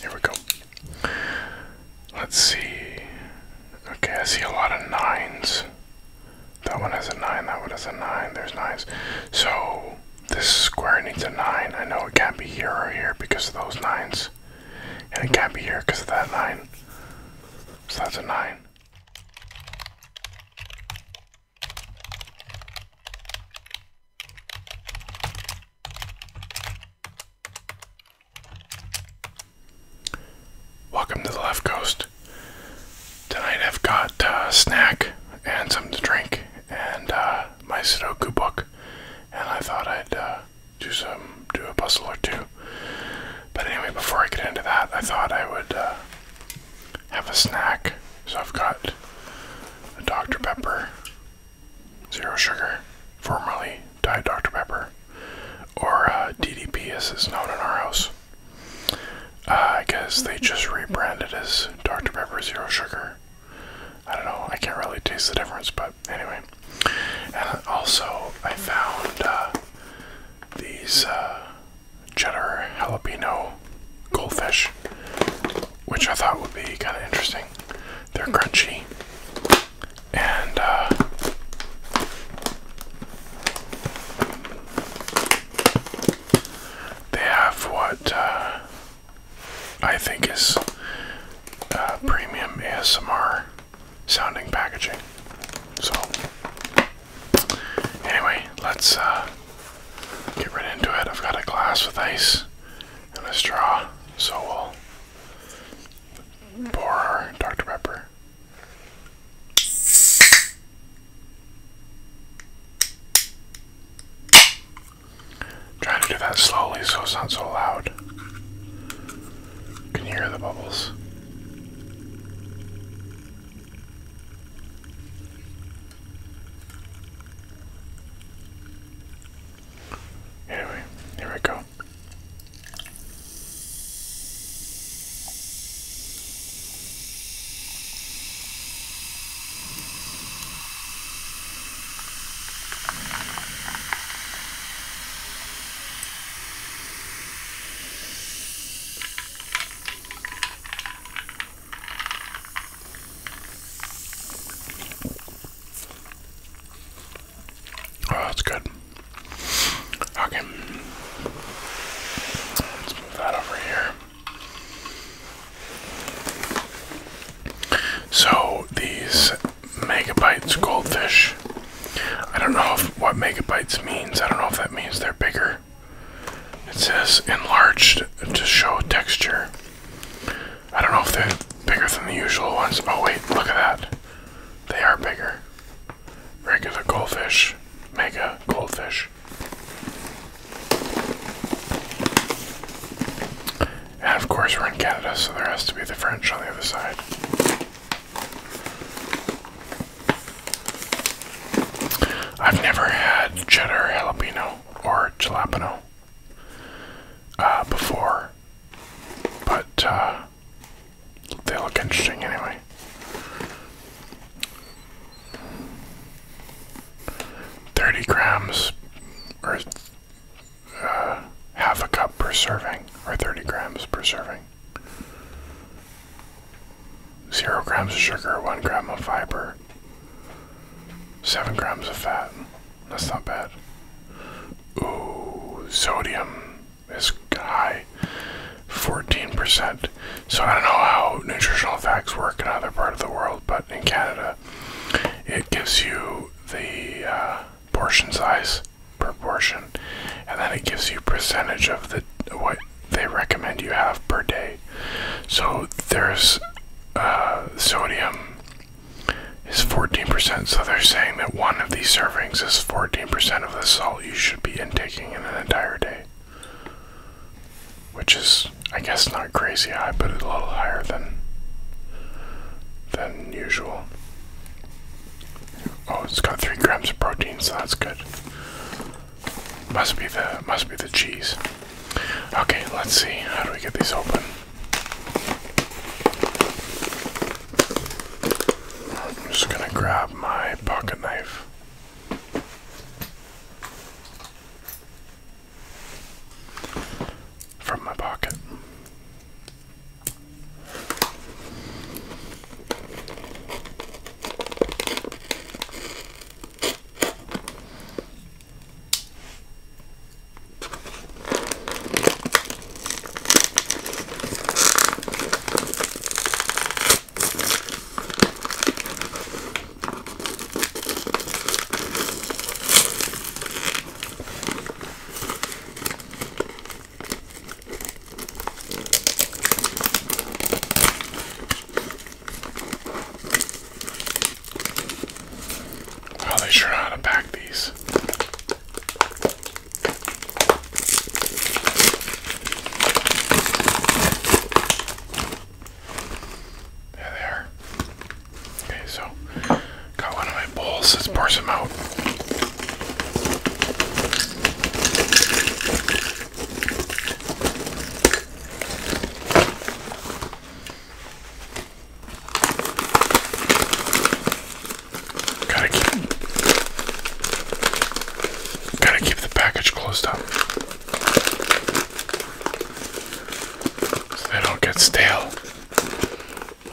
Here we go. Let's see. Okay, I see a lot of nines. That one has a nine, that one has a nine, there's nines. So, this square needs a nine. I know it can't be here or here because of those nines. And it can't be here because of that nine. So that's a nine. Welcome to the left coast. Tonight I've got a uh, snack and some to drink and uh, my Sudoku book, and I thought I'd uh, do some do a puzzle or two. But anyway, before I get into that, I thought I would have a snack. So I've got a Dr Pepper zero sugar, formerly Diet Dr. Pepper, or uh, DDP as it's known in our house. Uh, I guess they just rebranded as Dr. Pepper Zero Sugar. I don't know, I can't really taste the difference, but anyway. And also, I found uh, these uh, cheddar jalapeno goldfish which I thought would be kind of interesting. They're crunchy, and uh, they have what uh, I think is uh, premium ASMR sounding packaging. So, anyway, let's uh, get right into it. I've got a glass with ice and a straw, so we'll Pour Dr. Pepper. Trying to do that slowly so it's not so loud. You hear the bubbles. Here we, here we go. Oh, that's good. Okay. Let's move that over here. So, these megabytes goldfish. I don't know if, what megabytes means. I don't know if that means they're bigger. It says enlarged to show texture. I don't know if they're bigger than the usual ones. Oh wait, look at that. They are bigger. Regular goldfish, mega goldfish. And of course we're in Canada, so there has to be the French on the other side. I've never had cheddar jalapeno or jalapeno. Uh, before, but uh, they look interesting anyway. Thirty grams, or uh, half a cup per serving, or thirty grams per serving. Zero grams of sugar, one gram of fiber, seven grams of fat. That's not bad. Ooh, sodium is high. 14%. So I don't know how nutritional facts work in other part of the world, but in Canada, it gives you the uh, portion size per portion, and then it gives you percentage of the what they recommend you have per day. So there's uh, sodium is 14%. So they're saying that one of these servings is 14% of the salt you should be intaking in an entire day. Which is, I guess, not crazy high, but a little higher than than usual. Oh, it's got three grams of protein, so that's good. Must be the must be the cheese. Okay, let's see. How do we get these open? I'm just going to grab my pocket knife. From my pocket. Oh, they sure know how to pack these. There they are. Okay, so got one of my bowls. Let's pour some out. Gotta keep, gotta keep the package closed up so they don't get stale.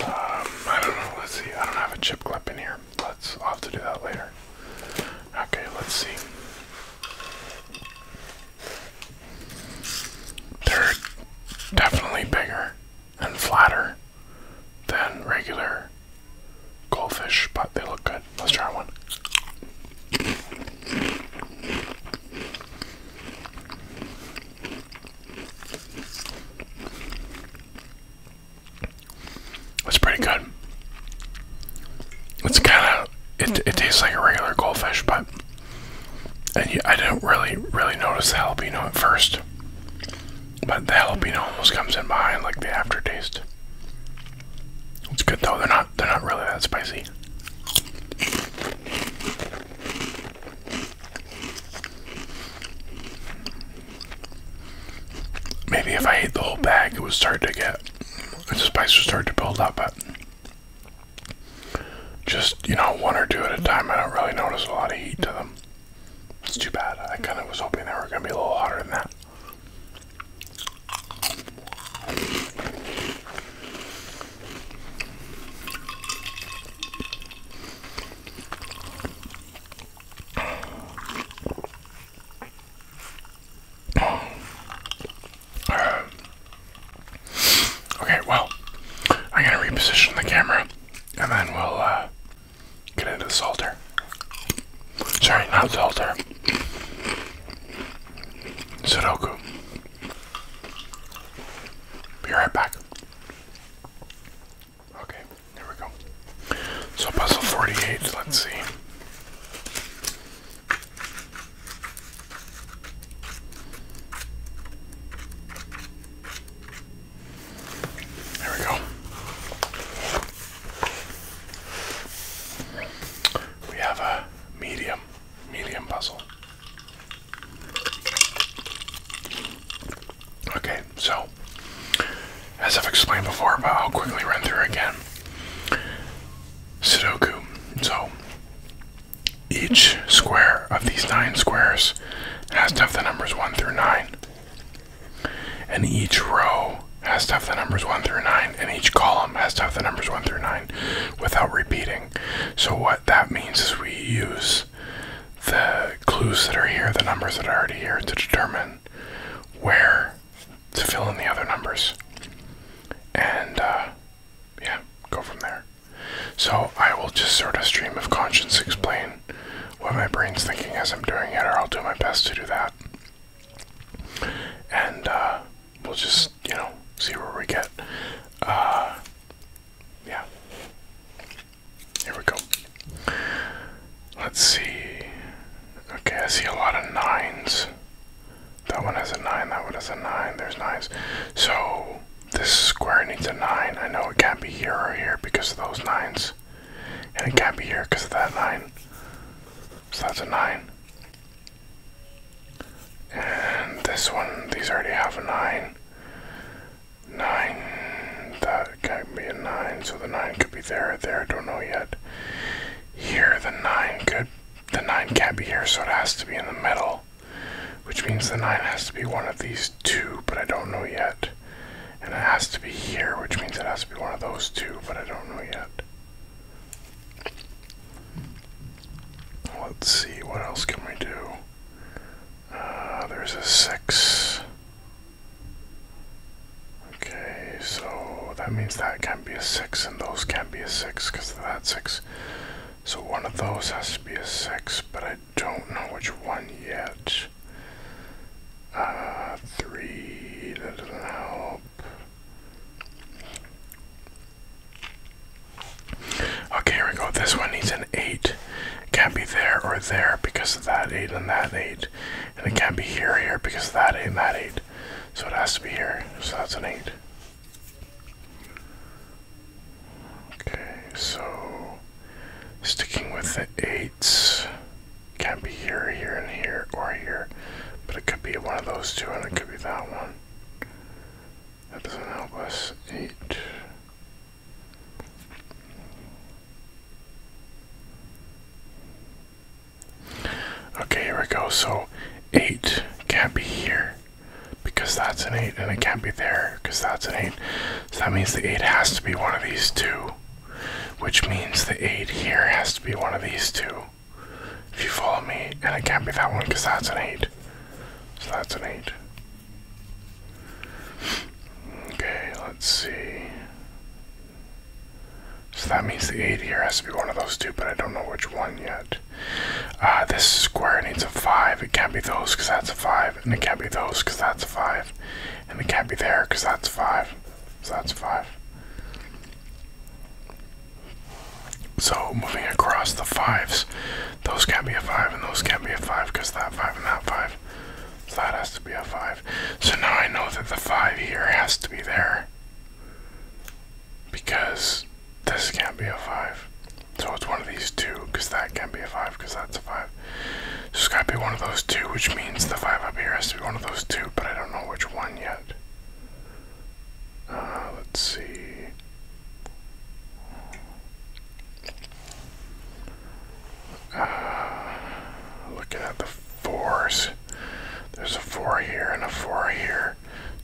Um, I don't know. Let's see. I don't have a chip clip in here. Let's. I'll have to do that later. Okay. Let's see. They're definitely bigger and flatter than regular goldfish, but they look good. Let's try one. It's pretty good. It's kind of it. It mm-hmm. tastes like a regular goldfish, but and I didn't really really notice the jalapeno at first. But the helping almost comes in behind like the aftertaste. It's good though, they're not they're not really that spicy. Maybe if I ate the whole bag it would start to get the spice would start to build up, but just, you know, one or two at a time I don't really notice a lot of heat to them. It's too bad. I kind of was hoping they were going to be a little hotter than that. okay, well, I'm to reposition the camera and then we'll uh, Get into the salter. Sorry, not salter. Sudoku. Be right back. Okay, here we go. So puzzle 48, let's see. There we go. We have a medium, medium puzzle. Okay, so as I've explained before, but I'll quickly run through again. Sudoku. So each square of these nine squares has to have the numbers 1 through 9. And each row has to have the numbers 1 through 9, and each column has to have the numbers 1 through 9 without repeating. So, what that means is we use the clues that are here, the numbers that are already here, to determine where to fill in the other numbers. And, uh, yeah, go from there. So, I will just sort of stream of conscience explain what my brain's thinking as I'm doing it, or I'll do my best to do that. And uh, we'll just, you know, see where we get. Uh, yeah. Here we go. Let's see. Okay, I see a lot of nines. That one has a nine, that one has a nine, there's nines. So, this square needs a nine. I know it can't be here or here because of those nines. And it can't be here because of that 9. So that's a 9. And this one, these already have a 9. 9. That can't be a 9. So the 9 could be there there. I don't know yet. Here, the 9 could. The 9 can't be here, so it has to be in the middle. Which means the 9 has to be one of these two, but I don't know yet. And it has to be here, which means it has to be one of those two, but I don't know yet. Let's see, what else can we do? Uh, there's a six. Okay, so that means that can not be a six, and those can not be a six because of that six. So one of those has to be a six, but I don't know which one yet damage. Uh, three, that doesn't help. Okay, here we go. This one needs an eight. It can't be there or there because of that eight and that eight. And it can't be here, here because that eight and that eight. So it has to be here. So that's an eight. Okay, so Sticking with the eights. Can't be here, here, and here, or here. But it could be one of those two, and it could be that one. That doesn't help us. Eight. Okay, here we go. So, eight can't be here because that's an eight, and it can't be there because that's an eight. So that means the eight has to be one of these two which means the 8 here has to be one of these two. If you follow me, and it can't be that one because that's an 8. So that's an 8. Okay, let's see. So that means the 8 here has to be one of those two, but I don't know which one yet. Uh, this square needs a 5. It can't be those because that's a 5. And it can't be those because that's a 5. And it can't be there because that's five. So that's five. So moving across the fives, those can't be a five and those can't be a five because that five and that five. So that has to be a five. So now I know that the five here has to be there because this can't be a five. So it's one of these two because that can't be a five because that's a five it's got to be one of those two, which means the five up here has to be one of those two, but I don't know which one yet. Uh, let's see. Uh, Look at the fours, there's a four here and a four here.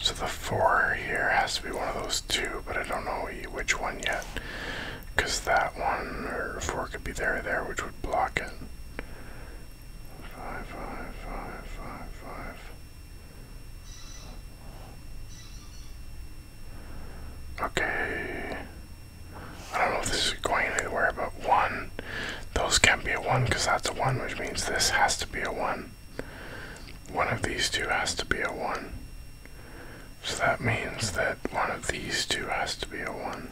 So the four here has to be one of those two, but I don't know which one yet. Because that one, or four could be there or there, which would. Blocking. block Five, five, five, five, five. Okay. I don't know if this is going anywhere, but one. Those can't be a one because that's a one, which means this has to be a one. One of these two has to be a one. So that means that one of these two has to be a one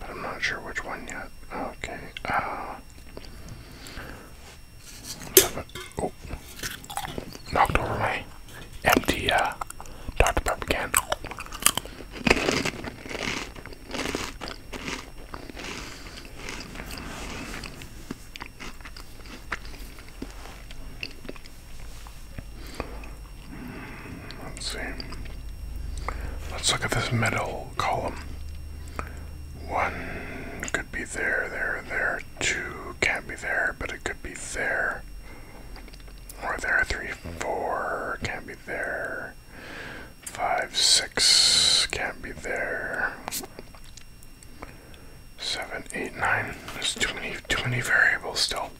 but I'm not sure which one yet. Okay, uh, oh, knocked over my empty uh, Dr. Pepper can. Let's see. Let's look at this middle column. One could be there, there, there. Two can't be there, but it could be there. Or there. Three, four can't be there. Five, six can't be there. Seven, eight, nine. There's too many, too many variables still.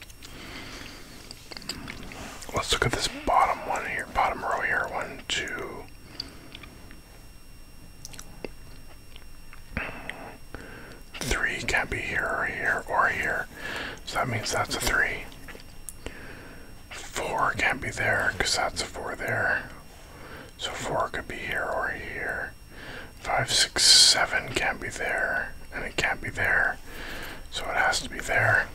Let's look at this bottom one here, bottom row here. One, two. Three can't be here or here or here. So that means that's a three. Four can't be there because that's a four there. So four could be here or here. Five, six, seven can't be there. And it can't be there. So it has to be there.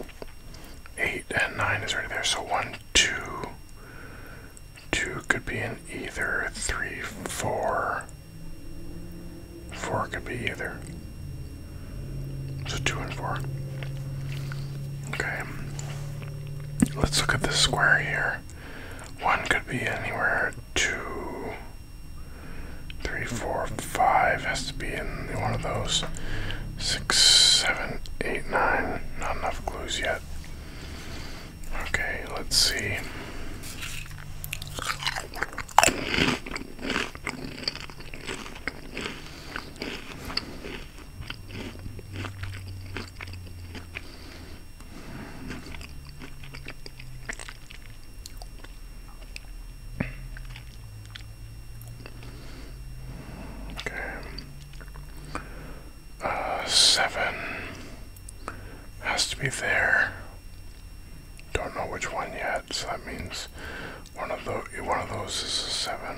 8 and 9 is already there. So 1, 2. 2 could be in either. 3, 4. 4 could be either. So 2 and 4. Okay. Let's look at this square here. 1 could be anywhere. 2 three, four, five has to be in one of those. Six, seven, eight, nine. Not enough clues yet. Okay, let's see. Okay. Uh, seven has to be there. Don't know which one yet, so that means one of those one of those is a seven.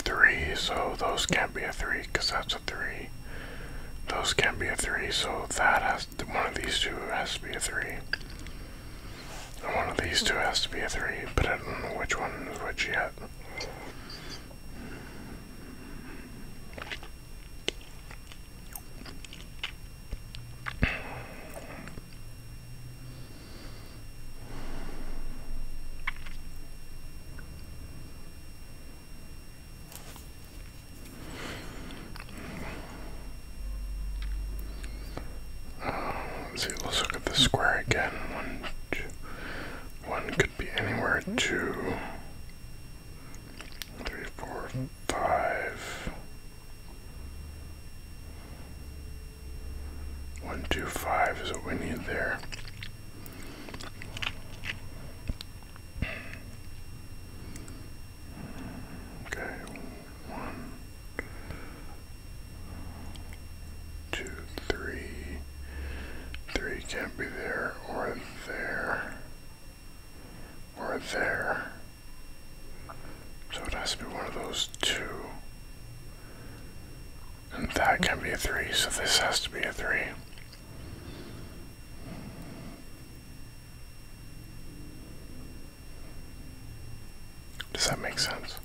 Three, so those can't be a three because that's a three. Those can't be a three, so that has to, one of these two has to be a three. And one of these two has to be a three, but I don't know which one is which yet. Um, let's see, let's look at the square again. One could be anywhere. Two, three, four, five. One, two, five is what we need there. Okay, one, two, three. Three can't be there or there or there. So it has to be one of those two. And that can be a three, so this has to be a three. Does that make sense?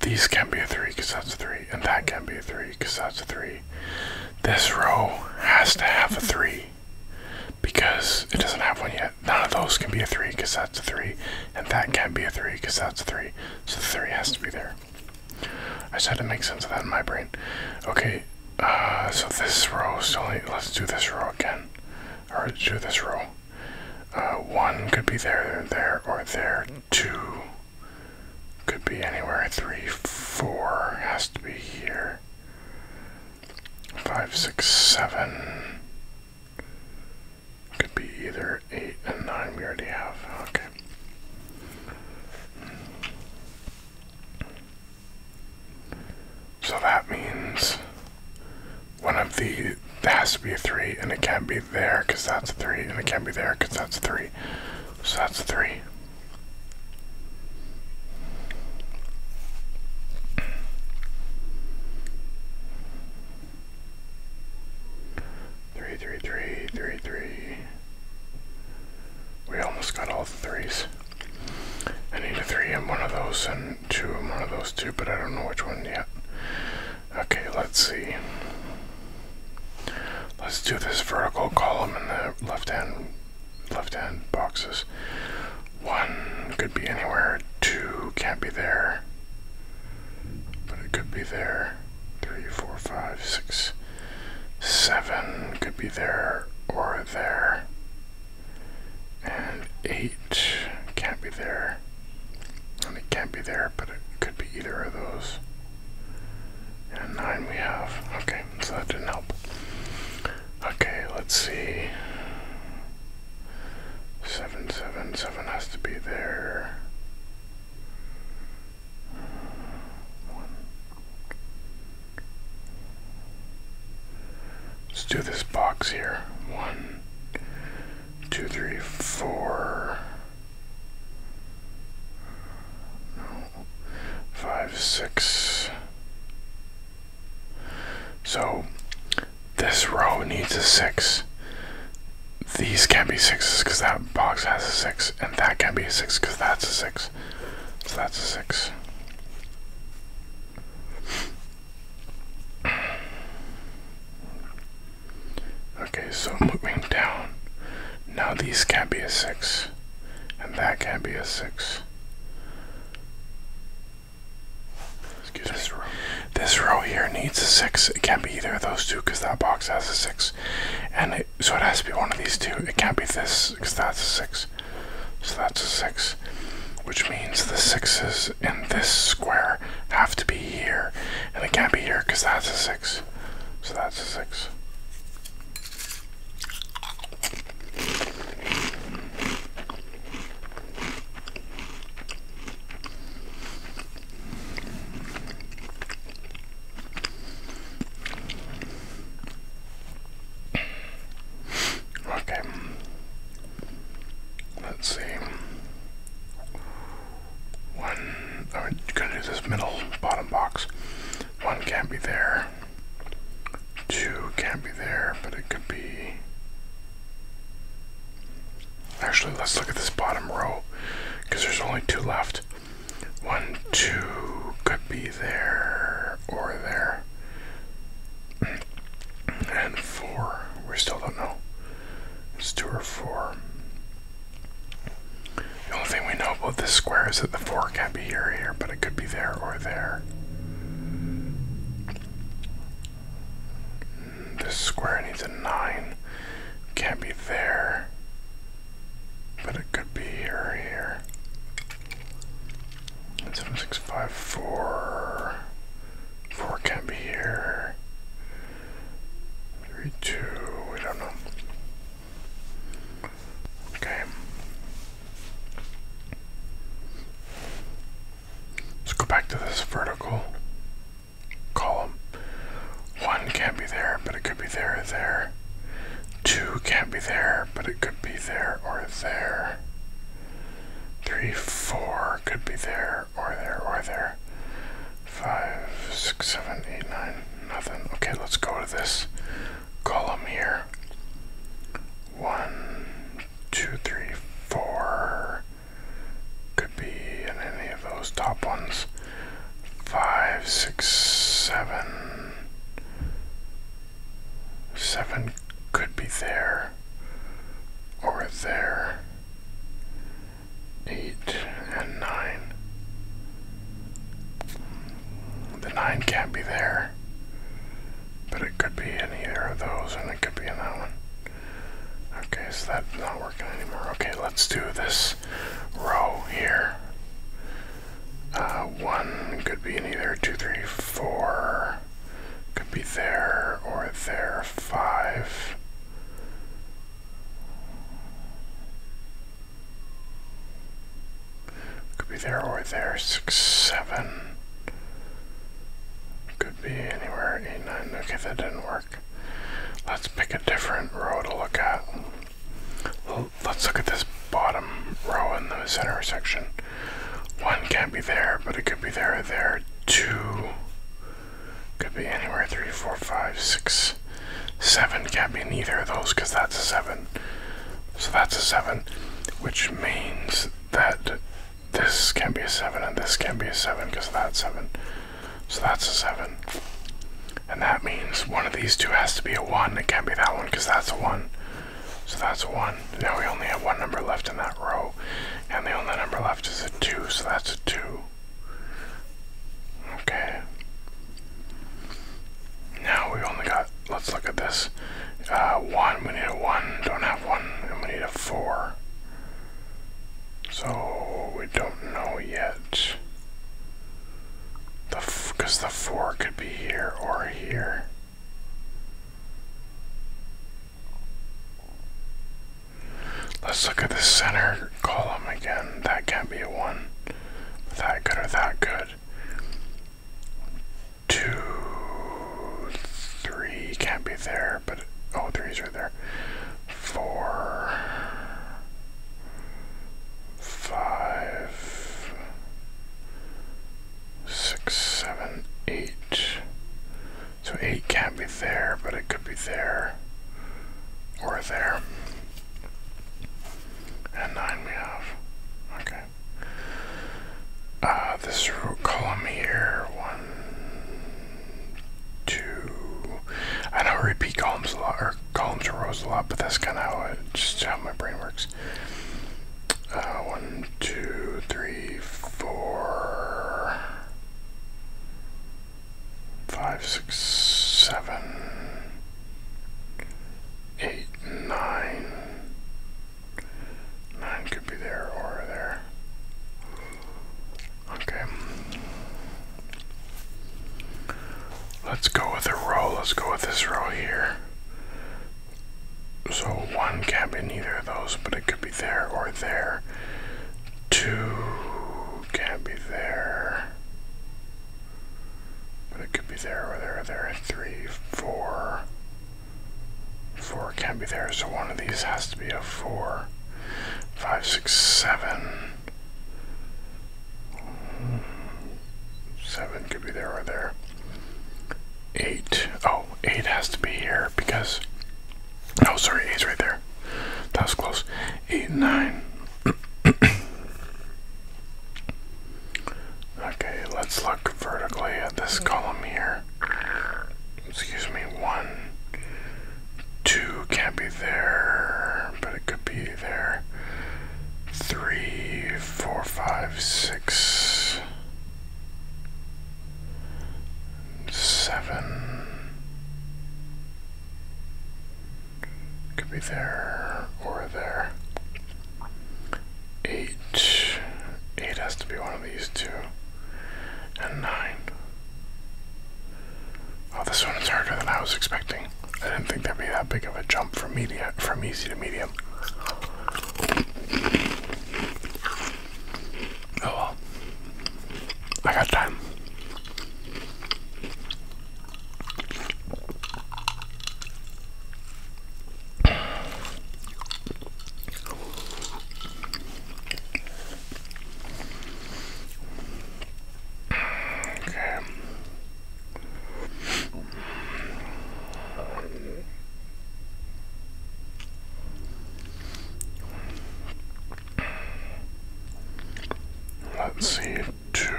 These can be a three because that's a three, and that can be a three because that's a three. This row has to have a three because it doesn't have one yet none of those can be a three because that's a three, and that can't be a three because that's a three. So the three has to be there. I just had to make sense of that in my brain. Okay, uh, so this row So Let's do this row again, or do this row. Uh, one could be there, there, or there. Two could be anywhere. Three, four has to be here. Five, six, seven. Could be either 8 and 9 we already have. Okay. So that means one of the there has to be 3 and it can't be there because that's 3 and it can't be there because that's 3. So that's 3. Three, three, three, three, three. We almost got all the threes. I need a three in one of those and two in one of those two, but I don't know which one yet. Okay, let's see. Let's do this vertical column in the left hand left hand boxes. One could be anywhere, two can't be there but it could be there. Three, four, five, six, seven could be there or there. And eight can't be there. And it can't be there, but it could be either of those. And nine we have. Okay, so that didn't help. Okay, let's see. Seven, seven, seven has to be there. One. Let's do this box here. One, two, three, four. No. Five, six. So this row needs a six. These can not be sixes because that box has a six, and that can not be a six because that's a six. So that's a six. Okay, so moving down. Now these can not be a six, and that can not be a six this Row. here needs a six. It can't be either of those two because that box has a six, and so it has to be one of these two. It can't be this because that's a six. So that's a six, which means the sixes in this square have to be here, and it can't be here because that's a six. So that's a six. Okay. Let's see. One. I'm oh, gonna do this middle bottom box. One can't be there. Two can't be there, but it could be. Actually, let's look at this bottom row because there's only two left. One, two could be there or there. And four. We still don't know. It's two or four. The only thing we know about this square is that the four can't be here or here, but it could be there or there. This square needs a 9. Can't be there. But it could be here or here. 7654. 4 can't be here. 3, 2, we don't know. Okay. Let's go back to this vertical column. 1 can't be there, but it could be there there. 2 can't be there, but it could be there or there. 3, 4 could be there or there or there. 5, 6, 7, 8, 9, nothing. Okay, let's go to this column here. 1, 2, 3, 4. Could be in any of those top ones. Five, six, seven, seven could be there or there. Eight and nine. The nine can't be there, but it could be in either of those, and it could be in that one. Okay, is that not working anymore. Okay, let's do this row here. Uh, one could be in either two, three, four. Could be there or there. Five. Could be there or there. Six, seven. Could be anywhere. Eight, nine. Okay, that didn't work. Let's pick a different row to look at. Let's look at this bottom row in the center section. One can't be there, but it could be there there. Two could be anywhere. Three, four, five, six, seven can't be neither of those because that's a seven. So that's a seven, which means that this can not be a seven and this can not be a seven because of that seven. So that's a 7. And that means one of these two has to be a 1. It can't be that one because that's a 1. So that's a 1. Now we only have one number left in that row. And the only number left is a 2, so that's a 2. Okay. Now we only got, let's look at this. Uh, 1, we need a 1, don't have 1, and we need a 4. So we don't know yet. The because the four could be here or here. Let's look at the center column again. That can't be a one. That good or that good. Two, three can't be there, but oh, threes right there four, five, six, seven, eight. So eight can't be there, but it could be there or there. And nine we have. Okay. Uh, this row, column here, one, two. I know I repeat columns a lot, or columns or rows a lot, but that's kind of how it, just how my brain works. Uh, one, two, three, four, five, six, seven, eight, nine. Nine could be there or there. Okay. Let's go with a row. Let's go with this row here. So one can't be either of those, but it could be there or there. Two can't be there. But it could be there or there or there. Three, Four can't be there, so one of these has to be a four. Five, six, seven. Seven could be there or there. Eight. Oh, eight has to be here because. Oh, sorry, eight's right there. That was close. Eight nine. okay, let's look vertically at this column here. Excuse me. One, Two can't be there, but it could be there. Three, four, five, six, seven. Could be there or there. Eight. Eight has to be one of these two. And nine. Oh, this one is harder than I was expecting. I didn't think there'd be that big of a jump from media from easy to medium. Oh well. I got time. Okay. Let's see, two,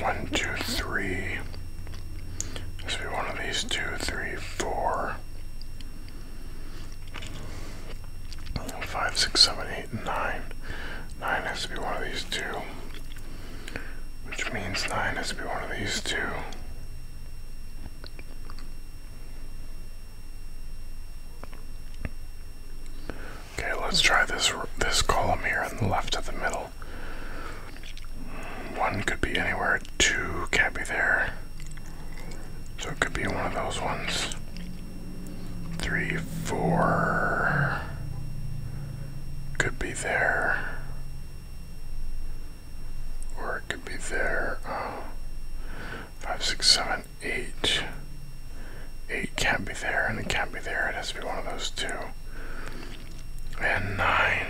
one, two, three. This be one of these two, three, four. Five, six, seven, eight, nine. Nine has to be one of these two. Which means nine has to be one of these two. Okay, let's try this this column here in the left of the middle. One could be anywhere, two can't be there. So it could be one of those ones. Three, four. Could be there. Or it could be there. Um, five, six, seven, eight. Eight can't be there, and it can't be there. It has to be one of those two. And nine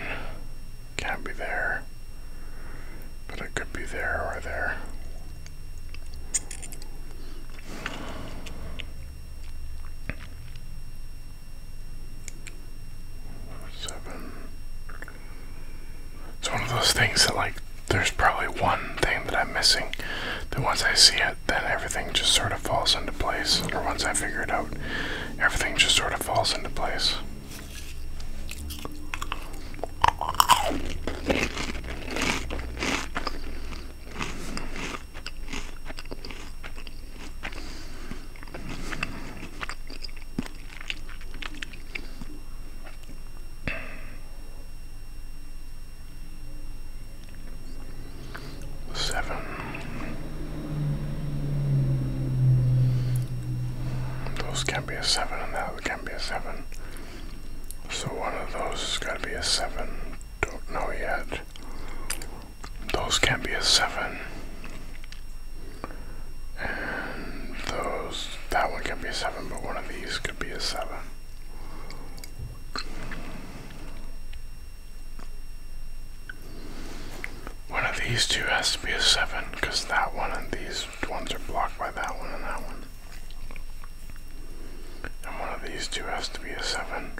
can't be there. But it could be there or there. Seven. It's one of those things that, like, there's probably one thing that I'm missing. That once I see it, then everything just sort of falls into place. Or once I figure it out, everything just sort of falls into place. Seven. Those can be a seven, and that can be a seven. So one of those has got to be a 7. Don't know yet. Those can not be a 7. And those, that one can be a 7, but one of these could be a 7. One of these two has to be a 7, because that one and these ones are blocked by that one and that one. And one of these two has to be a 7.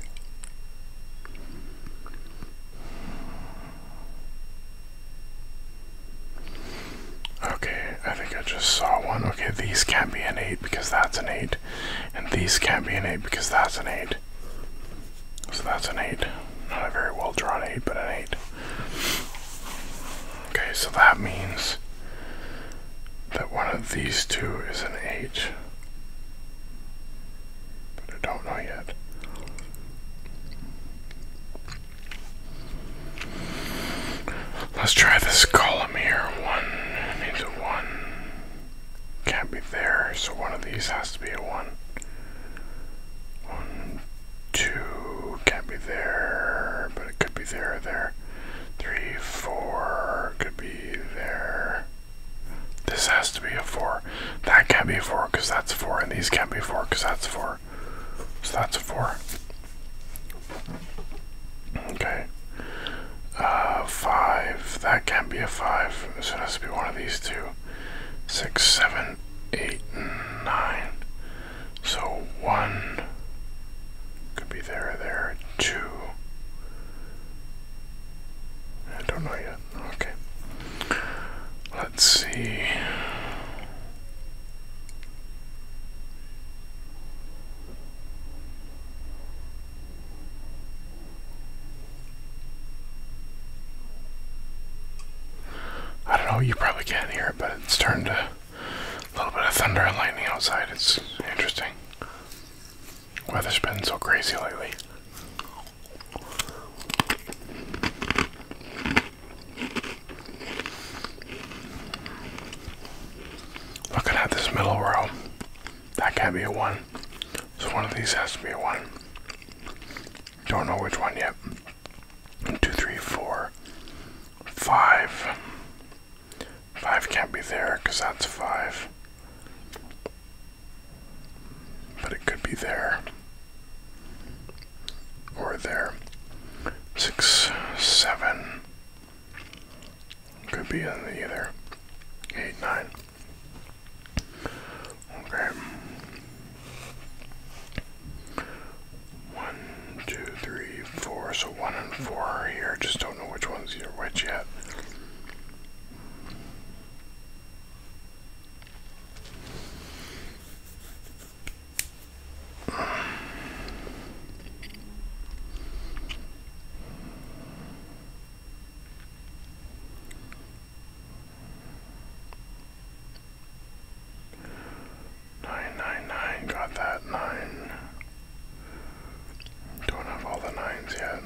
Okay, I think I just saw one. Okay, these can't be an 8 because that's an 8. And these can't be an 8 because that's an 8. So that's an 8. Not a very well drawn 8, but an 8. Okay, so that means that one of these two is an H. But I don't know yet. Let's try this column here. One needs a one. Can't be there, so one of these has to be a one. One, two, can't be there, but it could be there, there. Three, four, could be there. This has to be a four. That can't be a four because that's four, and these can't be four because that's four. So that's a four. Okay. Uh, five. That can't be a five. So it has to be one of these two. Six, seven, eight, nine. So one could be there, there, two. I don't know yet. Okay. Let's see. I don't know, you probably can't hear it, but it's starting to a little bit of thunder and lightning outside. It's interesting. Weather's been so crazy lately. Looking at this middle row, that can't be a one. So one of these has to be a one. Don't know which one yet. Two, three, four, five. Five can't be there because that's five. But it could be there. Or there. Six, seven. Could be in either. Eight, nine. Okay. One, two, three, four. So one and four are here. Just don't know which one's are which yet. Nine, nine, nine. Got that nine. Don't have all the nines yet.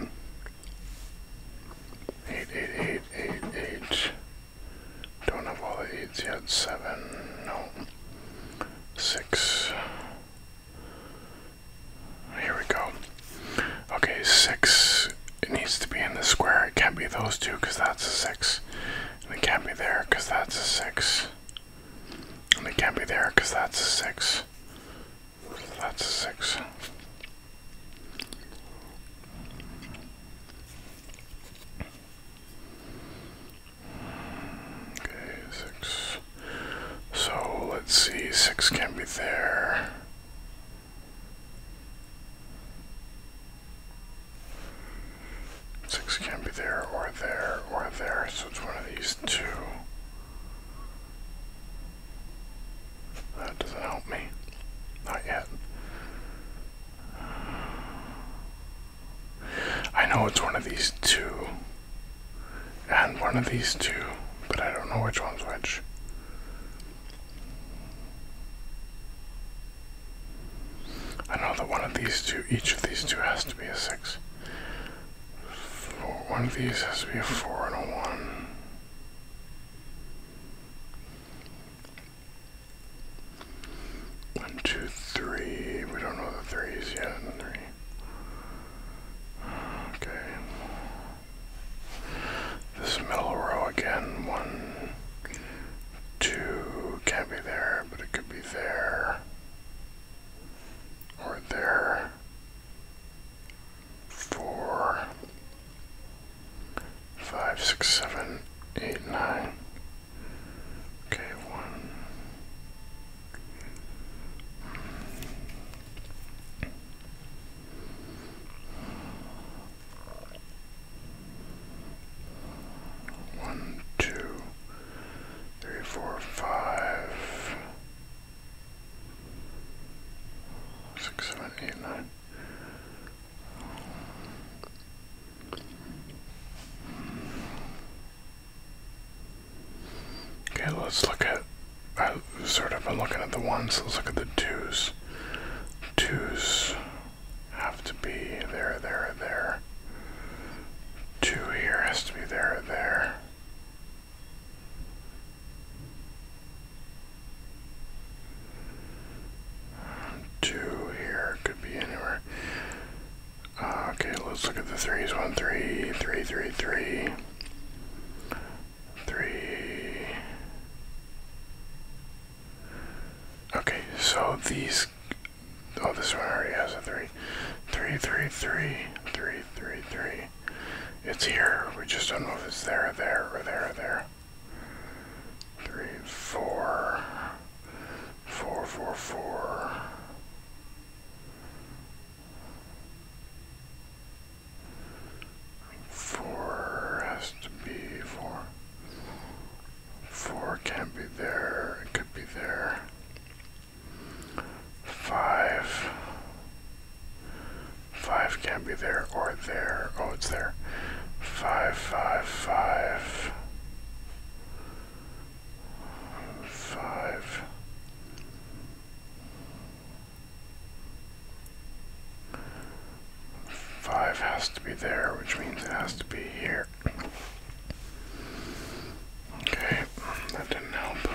Eight, eight, eight, eight, eight. Don't have all the eights yet. Seven. No. Six. Here we go. Okay, six. It needs to be in the square. It can't be those two because that's a six. And it can't be there because that's a six. And it can't be there because that's 6. So that's 6. Okay, 6. So let's see, 6 can not be there. Six can't be there or there or there, so it's one of these two. That doesn't help me. Not yet. I know it's one of these two. And one of these two, but I don't know which one's which. I know that one of these two, each of these two has to be a six one of these has to be a 4 and a 1. One, two, three. We don't know the threes yet. Three. Okay. This middle row again. One, two. Can't be there, but it could be there or there four, five, six, seven, eight, nine. Okay, one three, four, five, six, seven, eight, nine. Okay, let's look at. I sort of been looking at the ones. Let's look at the twos. Twos have to be there, there, and there. Two here has to be there there. Two here could be anywhere. Ah, okay, let's look at the threes. One, three, three, three, three, three. Okay, so these Oh, this one already has a three. Three, three, three, three, three, three. It's here. We just don't know if it's there, or there, or there, or there. Three, four, four, four, four. Four has to be four. Four can't be there. It could be there. Five. Five can't be there or there. Oh, it's there. Five. Five. Five. five, five. Five. Five has to be there, which means it has to be here. Okay, that didn't help.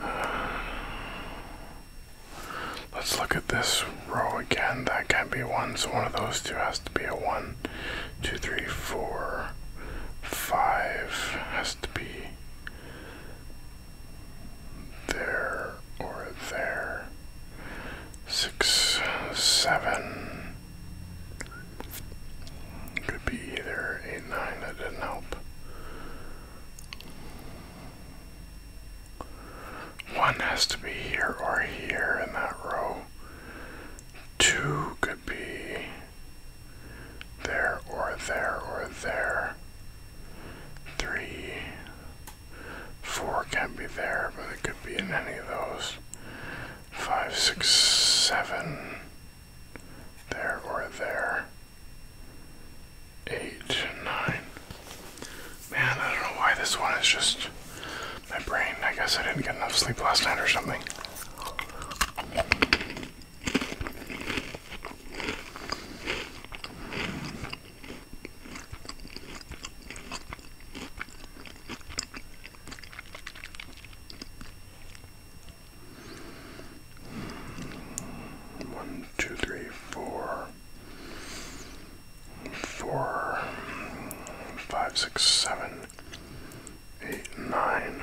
Uh, let's look at this row again. That can't be one, so one of those two has to be a one. Two, three, four, five has to be there or there. Six, seven. Could be either 8 9, that didn't help. 1 has to be here or here in that row. 2 could be there or there or there. 3, 4 can be there, but it could be in any of those. Five, six, seven there or there. Eight, nine. Man, I don't know why this one is just my brain. I guess I didn't get enough sleep last night or something. One, two, three, four, four, five, six, seven, eight, nine.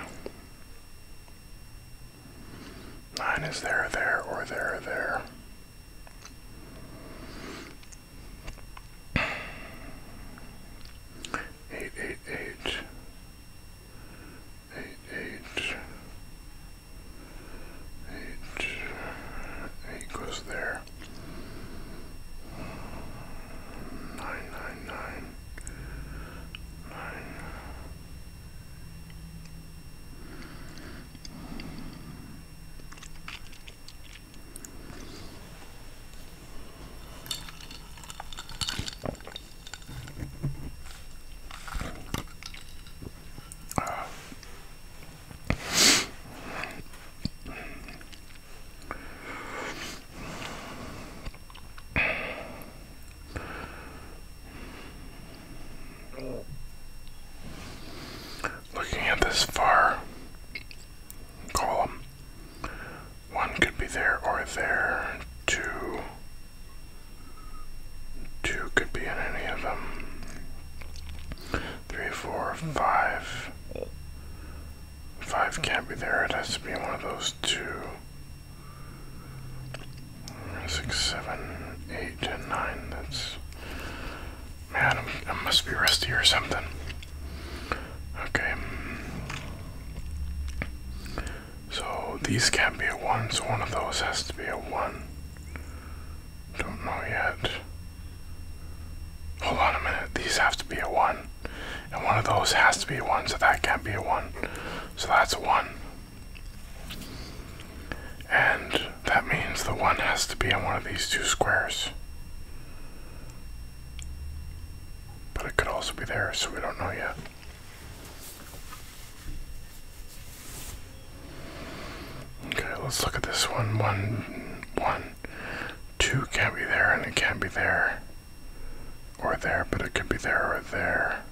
Nine is there, there, or there, there. Eight, eight, eight eight eight eight eight goes there nine nine nine nine uh, looking at this far column one could be there or there. Two. Two could be in any of them. Three, four, five. Five can't be there. It has to be one of those two. Six, seven, eight, and nine. That's. Man, i must be rusty or something. Okay. So these can't be a 1, so one of those has to be a 1. Don't know yet. Hold on a minute, these have to be a 1. And one of those has to be a 1, so that can't be a 1. So that's a 1. And that means the 1 has to be on one of these two squares. But it could also be there, so we don't know yet. Okay, let's look at this one. One, one, two can't be there, and it can't be there, or there, but it could be there or there.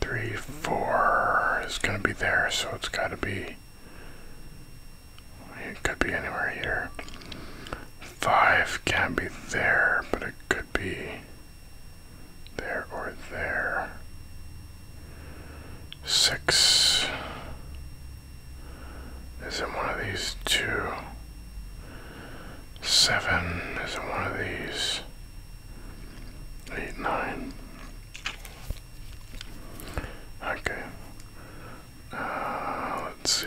Three, four is gonna be there, so it's gotta be. It could be anywhere here. Five can't be there, but it could be there or there. Six is in one of these two. Seven is in one of these. Eight, nine. Okay. Uh, let's see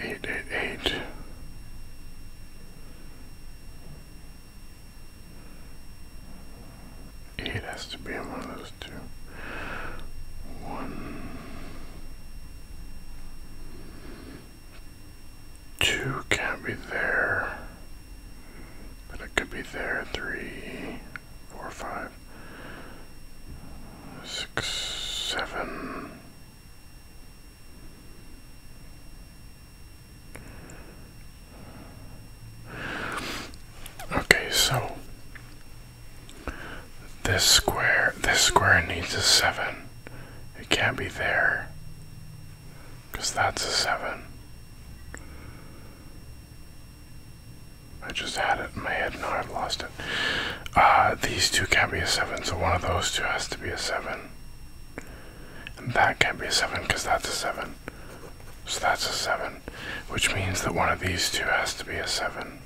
eight eight eight. Eight has to be in one of those two. One, two can't be there, but it could be there. Three, four, five, six, seven. Okay, so this square this square needs a seven. It can't be there because that's a seven. I just had it in my head, now I've lost it. Uh, these two can't be a seven, so one of those two has to be a seven. And that can't be a 7 because that's a 7. So that's a 7. Which means that one of these two has to be a 7.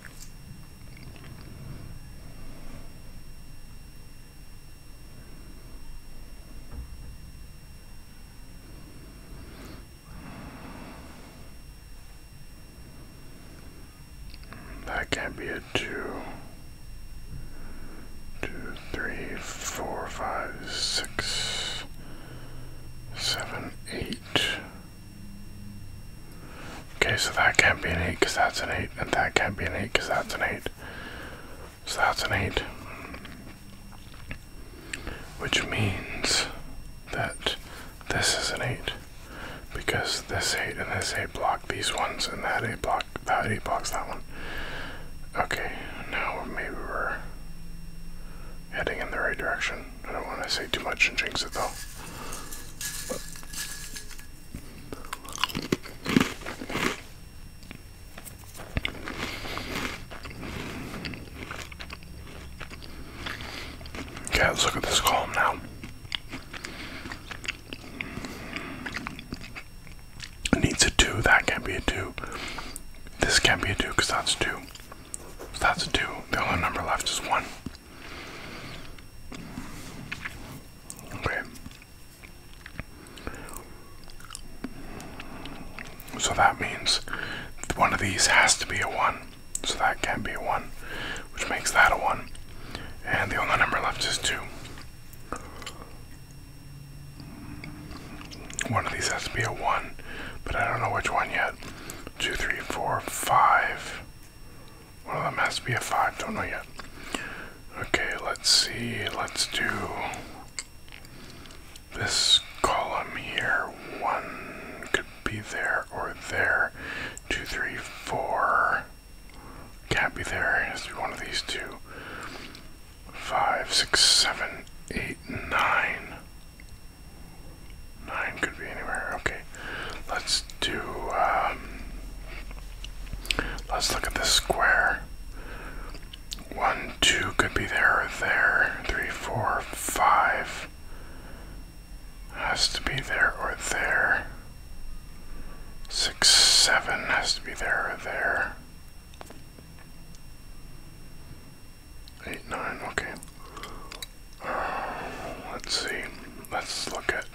That can't be a get two, two, three, four, five, six, seven, eight. Okay, so that can't be an 8 because that's an 8, and that can't be an 8 because that's an 8. So that's an 8. Which means that this is an 8. Because this 8 and this 8 block these ones, and that 8 block block that. He blocks that one. Okay, now maybe we're heading in the right direction. I don't want to say too much and jinx it though. Okay, let's look at this column now needs a 2, that can't be a 2. This can't be a 2 because that's 2. So that's a 2. The only number left is 1. Okay. So that means one of these has to be a 1. So that can't be a 1, which makes that a 1. And the only number left is 2. One of these has to be a 1, but I don't know which one yet. Two, three, four, five. One of them has to be a 5, don't know yet. Okay, let's see. Let's do this column here. 1 could be there or there. Two, three, four. Can't be there. It has to be one of these two. Five, six, seven, eight, nine. Nine could be anywhere. Okay. Let's do, um, let's look at this square. One, two could be there or there. Three, four, five. Has to be there or there. Six, seven has to be there or there. Eight, nine, okay. Uh, let's see. Let's look at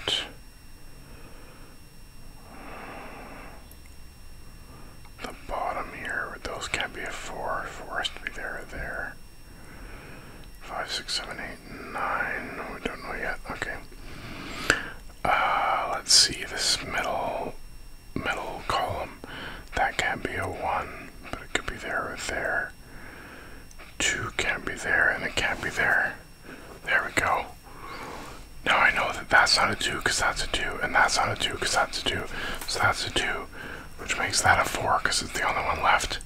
the bottom here. Those can't be a four. Four has to be there there. Five, six, seven, eight, nine. We don't know yet. Okay. Uh, let's see this middle middle column. That can't be a one, but it could be there or there. Two can't be there, and it can't be there. There we go. Now I know that that's not a two because that's a two, and that's not a two because that's a two. So that's a two, which makes that a four because it's the only one left.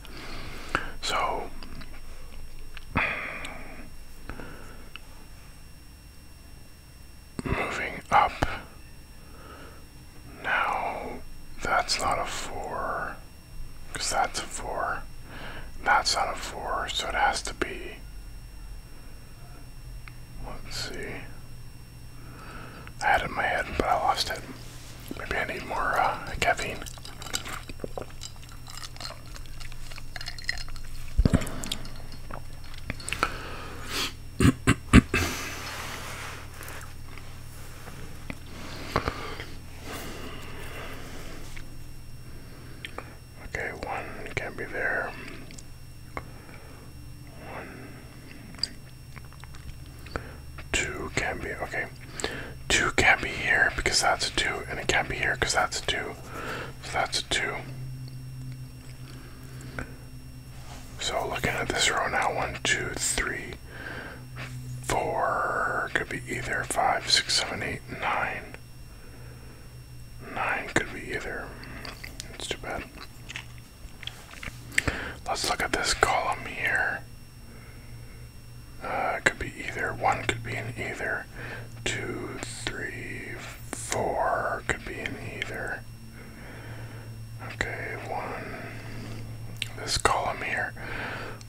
So moving up. Now, that's not a 4, because that's a 4. That's not a 4, so it has to be. Let's see. I had it in my head, but I lost it. Maybe I need more uh, caffeine okay, one can be there. One, two can be okay. Two can't be here because that's a two, and it can't be here because that's a two. So that's a two. So looking at this row now, one, two, three, four, could be either five, six, seven, eight, nine. Nine could be either. It's too bad. Let's look at this column here. it uh, could be either. One could be an either two, three, four. Could be in either. Okay, one. This column here.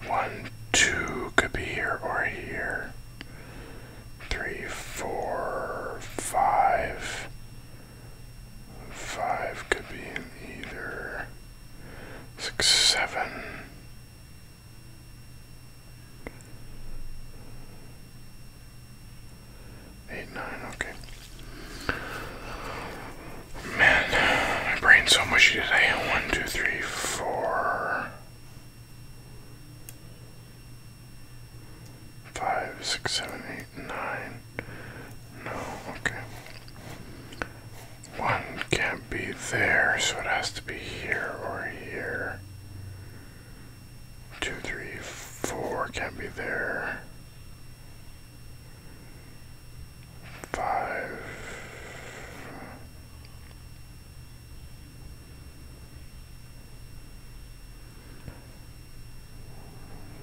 One, two. Could be here or here. Three, four, five. Five could be in either. Six, seven. Eight, nine, okay. Man, my brain's so mushy today. One, two, three, four, five, six, seven, eight, nine. No, okay. One can't be there, so it has to be here or here. Two, three, four can't be there. Five.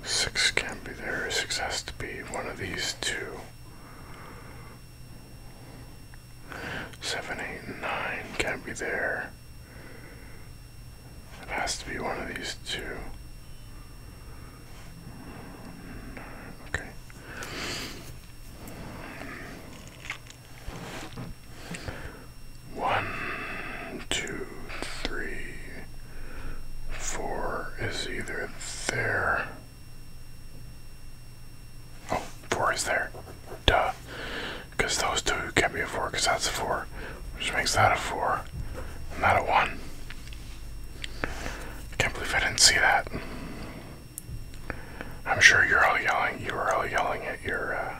Six can't be there. Six has to be one of these two. Seven, eight, nine can't be there. It has to be one of these two. Okay. One, two, three, four is either there. Oh, four is there. Duh because those two can't be a 4 because that's a 4, which makes that a 4 not a 1. I can't believe I didn't see that. I'm sure you're all yelling. You were all yelling at your uh,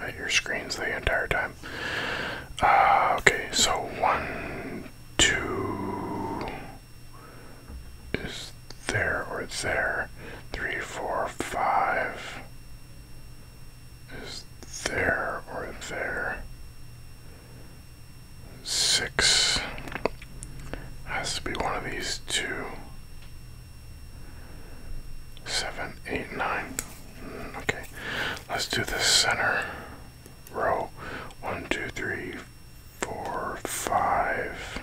at your screens the entire time. Uh, okay, so one, two, is there or it's there? Three, four, five is there or there. Six has to be one of these two. Seven, eight, nine. Hmm, okay, let's do the center row. One, two, three, four, five.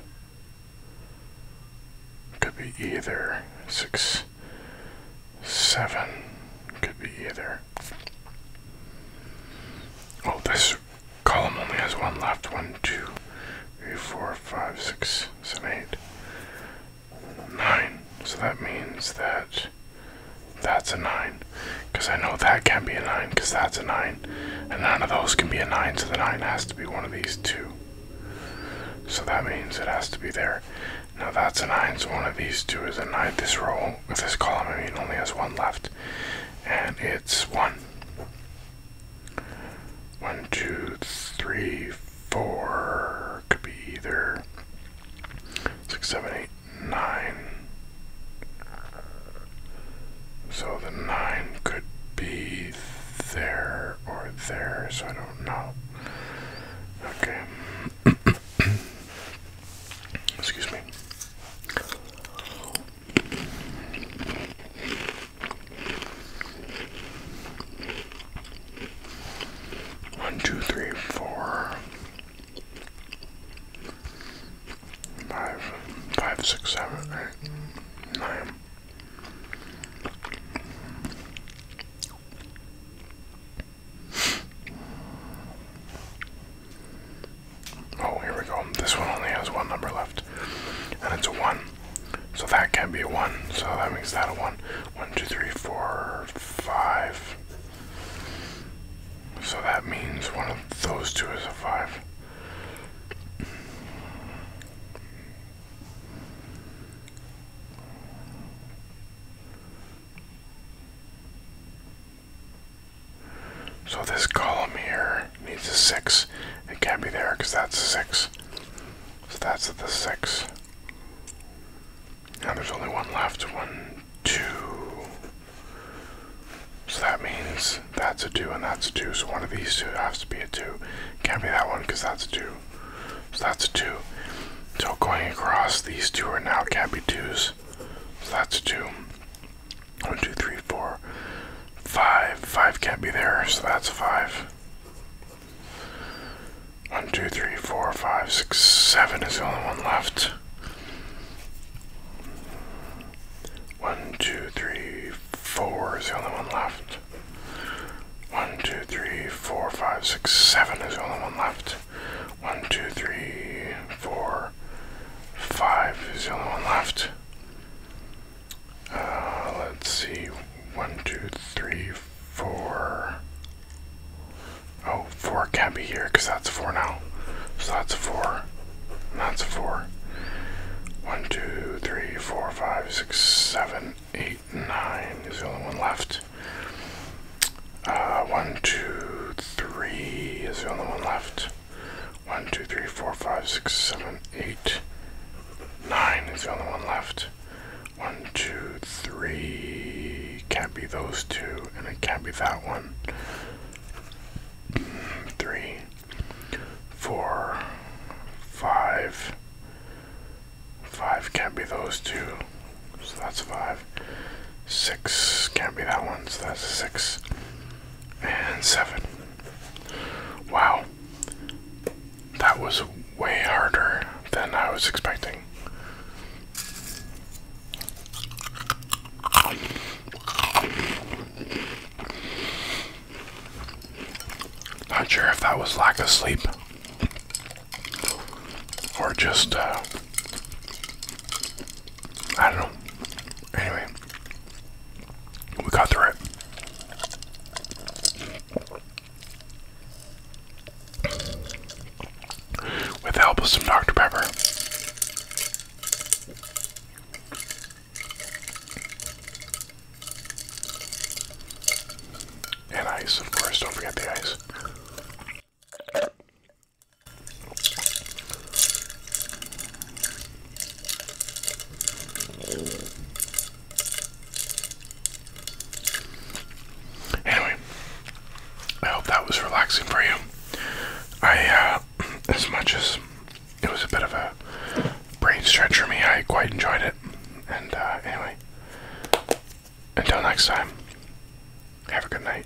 Could be either. Six seven. Could be either. Oh, this column only has one left. One, two, three, four, five, six, seven, eight, nine. So that means that that's a nine. Because I know that can not be a nine, because that's a nine. And none of those can be a nine, so the nine has to be one of these two. So that means it has to be there. Now that's a 9, so one of these two is a 9. This row, with this column, I mean, only has one left. And it's 1. 1, Could be either 6, So the 9 could be there or there, so I don't know. Okay. Excuse me. One, two, three, four, five, five, six, seven, eight, nine. Oh, here we go. This one only has one number left. And it's a 1. So that can be a 1. So that makes that a one, one, two, three, four, five. So that means one of those two is a 5. So this column here needs a 6. It can't be there because that's a 6. So that's the 6. Now there's only one left. 1, 2. So that means that's a 2 and that's a 2. So one of these two has to be a 2. Can't be that one because that's a 2. So that's a 2. So going across, these two are now can't be 2s. So that's a 2. 1, 2, 3, 4, 5. 5 can't be there, so that's a 5. 1, 2, 3, 4, 5, 6, 7 is the only one left. 1, 2, 3, 4 is the only one left. 1, 2, 3, 4, 5, 6, 7 is the only one left. One, two, three, four, five is the only one left. Uh, let's see. One, two, three, four. Oh, four can't be here because that's four now. So that's four. And that's four. One, two, three, four, five, six, seven, eight, nine is the only one left. Uh, one, two, three is the only one left. One, two, three, four, five, six, seven, eight, nine is the only one left. One, two, three. Can't be those two, and it can't be that one. Three, four, five, Five can't be those two, so that's five. Six can't be that one, so that's six. And seven. Wow. That was way harder than I was expecting. Not sure if that was lack of sleep or just uh, I don't know. Anyway, we got through it. With the help of some Dr. Pepper. And ice, of course, don't forget the ice. Anyway, I hope that was relaxing for you. I, uh, as much as it was a bit of a brain stretch for me, I quite enjoyed it. And, uh, anyway, until next time, have a good night.